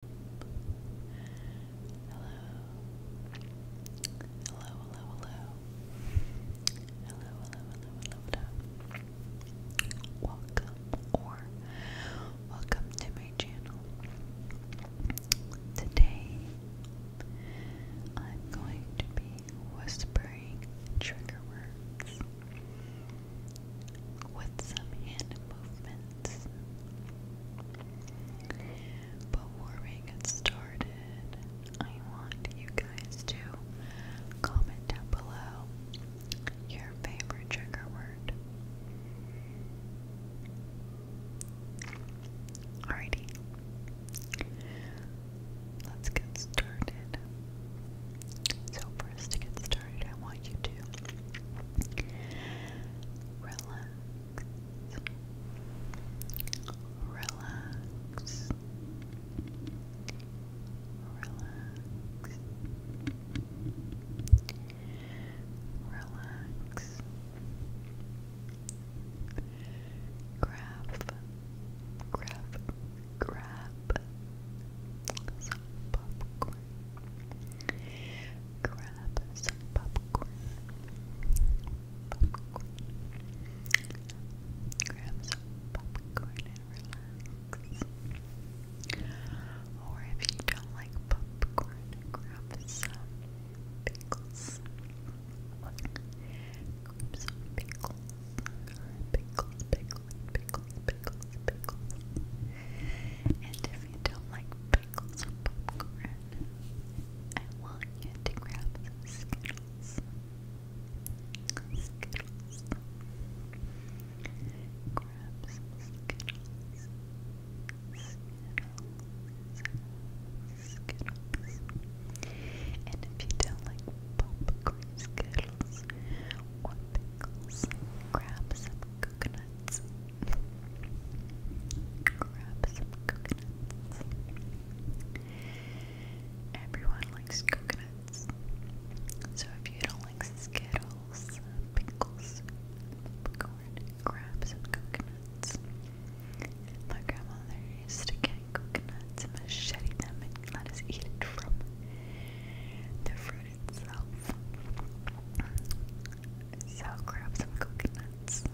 Hello. Hello, hello, hello. Hello, hello, hello, Welcome or welcome to my channel. Today I'm going to be whispering trigger words with some hand movement minutes. Before we get started, I want you guys to comment down below your favorite trigger word. Alrighty, let's get started. So, for us to get started, I want you to relax, relax, grab, grab, grab some popcorn. Grab some popcorn. Grab some popcorn and relax. Or if you don't like popcorn, grab some pickles. Grab some pickles. Pickles, pickles, pickles, pickles, pickles. And if you don't like pickles or popcorn, I want you to grab Skittles. Skittles. Skittles. Skittles. Skittles. And if you don't like popcorn Skittles, pickles or pickles. Grab some coconuts. Grab some coconuts. Everyone likes coconuts. So if you don't like Skittles, pickles, popcorn, grab some coconuts. My grandmother used to get coconuts and machete them and let us eat it from the fruit food itself. So grab some coconuts.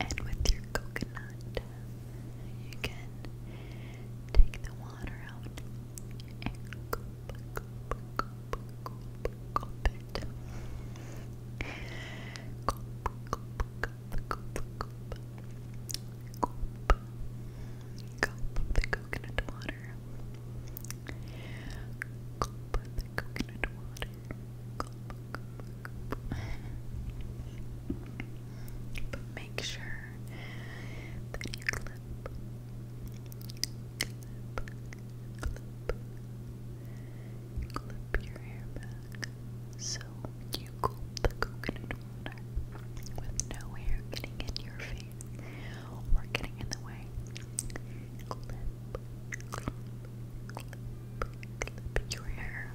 And with your coconut, you can take the water out Gulp the coconut water. Gulp the coconut water. make sure that you clip, clip, Clip your hair back so you gulp the coconut water with no hair getting in your face or getting in the way. Clip, clip, clip, your hair.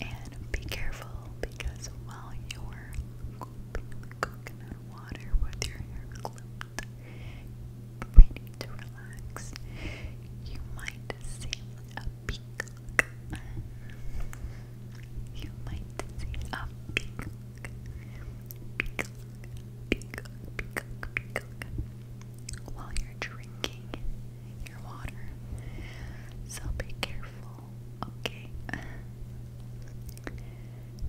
And be careful because while you're coconut water with your hair clipped, ready to relax. You might see a peacock. You might see a peacock. Peacock, peacock, peacock, peacock. While you're drinking your water. So be careful okay.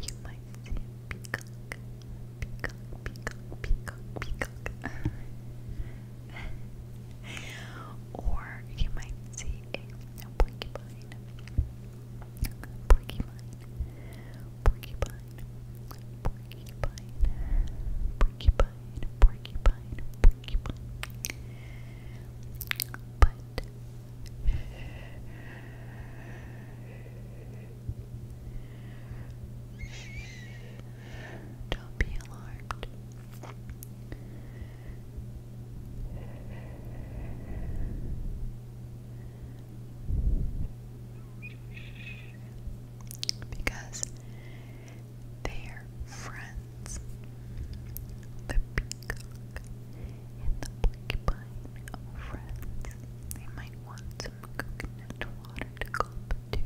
you might see a peacock, peacock, peacock, peacock, peacock. or you might see a, porcupine, porcupine, porcupine, porcupine, porcupine, porcupine, porcupine. But don't be alarmed. Because they're friends birds, the peacock, and the porcupine friends. They might want some coconut water to gulp too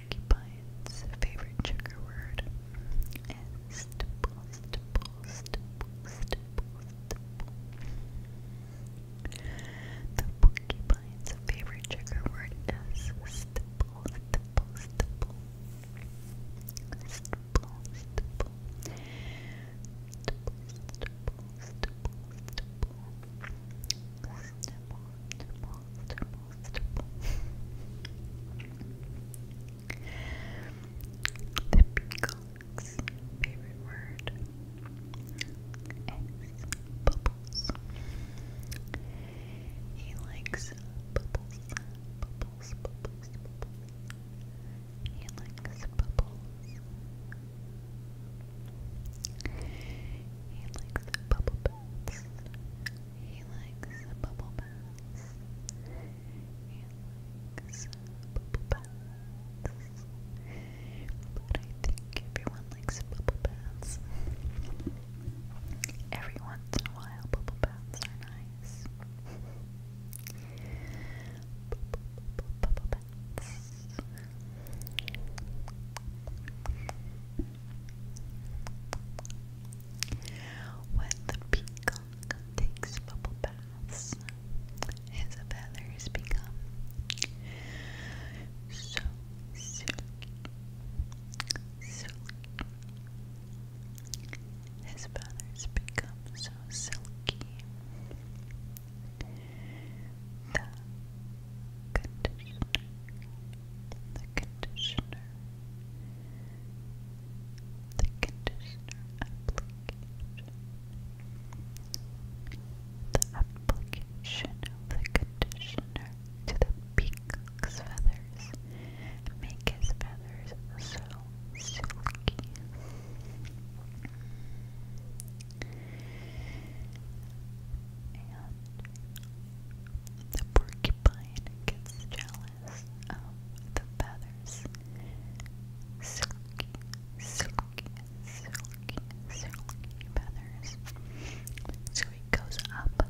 porcupine's favorite trigger word is stipple, stipple, stipple, stipple, stipple. The porcupine's favorite trigger word is stipple, stipple, stipple. Stipple, stipple. Stipple, stipple, stipple, stipple. Stipple, stipple, the peacock's favorite word bubbles. He likes bubbles, bubbles, bubbles, bubbles. He likes bubbles. He likes bubble baths. He likes bubble baths. He likes bubble baths. But I think everyone likes bubble baths. Every once in a while, bubble baths are nice. bubble baths. When the peacock takes bubble baths, his feathers become so silky, His feathers become so silky conditioner, the conditioner, the conditioner application, the application of the conditioner to the peacock's feathers make feathers so silky. The porcupine gets jealous of the feathers. Silky, silky, silky, silky feathers. So he goes up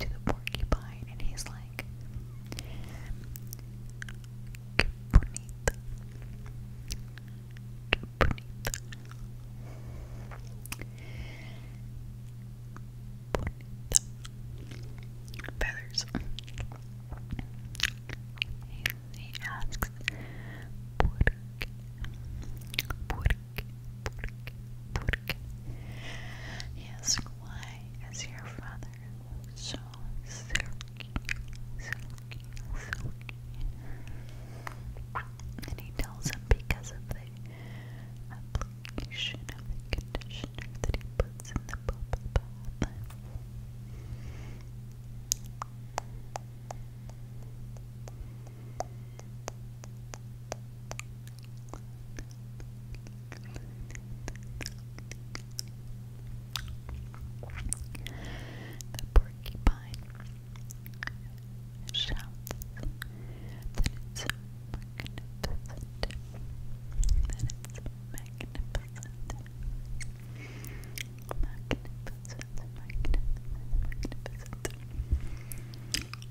to the porcupine and he's like, bonita. Bonita. Feathers. He, asks, ¿Por qué? ¿Por qué? ¿Por why is your father so silky, silky, silky? And he tells him because of the application of the conditioner that he puts in the bubble bath. The porcupine shouts that it's magnificent, that it's magnificent, magnificent, magnificent,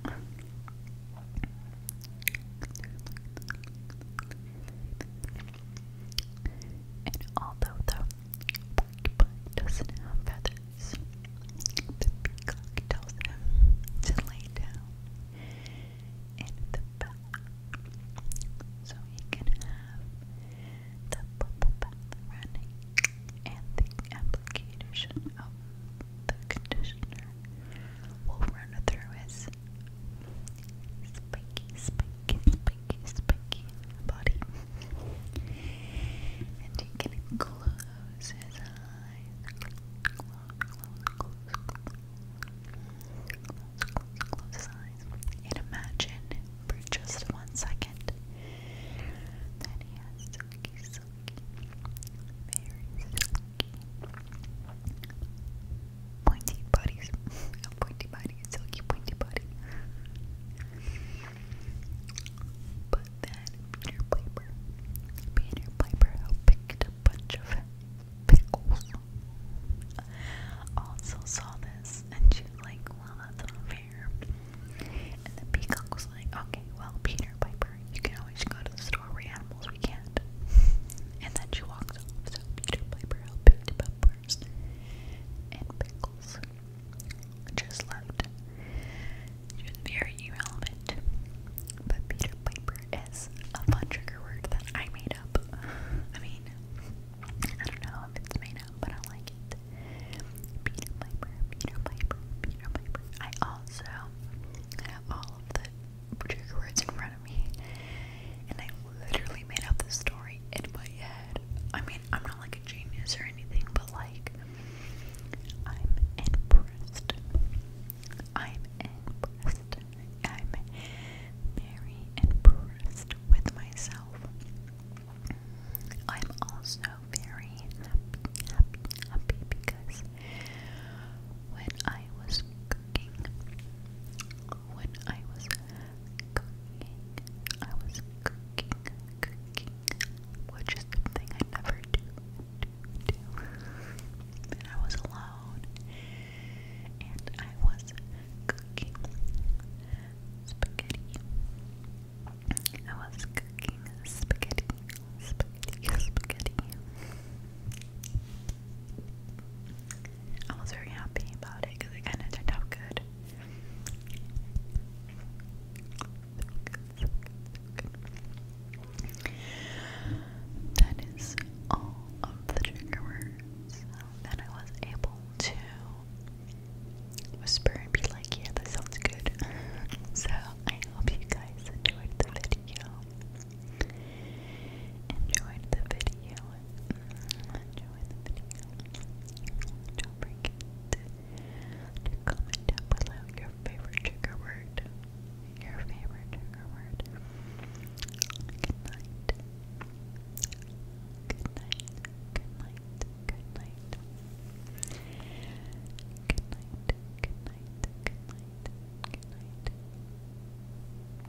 magnificent. And although the porcupine doesn't have feathers. The peacock tells him to lay down in the bath so he can have the bubble bath running and the application of the conditioner will run through his spiky, spiky, spiky spanky, spanky body. and he can close his eyes. Close, close, close, his eyes. And imagine for just one second that he has silky, silky, very silky, pointy bodies. pointy body, silky pointy body. But then Peter Piper, Peter Piper picked a bunch of pickles. Also saw this and she was like, well, that's unfair. And the peacock was like, okay, well, Peter Piper, you can always go to the store where animals we can't. And then she walked off, so Peter Piper helped picked up peppers, and pickles. Just loved. She was very irrelevant. But Peter Piper is a fun trigger word that I made up. I mean, I don't know if it's made up, but I like it. Peter Piper, Peter Piper, Peter Piper. I also have all of the trigger words in front of me, and I literally made up this story in my head. I mean, I'm not like a genius or anything, but like, I'm impressed. I'm impressed. I'm very impressed with myself. I'm also very happy because when I was cooking, when I was cooking. I was cooking, cooking, which is something I never do, do, I was alone, and I was cooking spaghetti. I was cooking spaghetti, spaghetti, spaghetti. I was very happy about it because it kind of turned out good. That is all of the trigger words that I was able to whisper and be like, yeah, that sounds good. so I hope you guys enjoyed the video. Enjoyed the video enjoy the video. Don't forget to comment down below your favorite trigger word. Your favorite trigger word. Good night. Good night. Good night. Good night. Good night. Good night. Good night. Good night.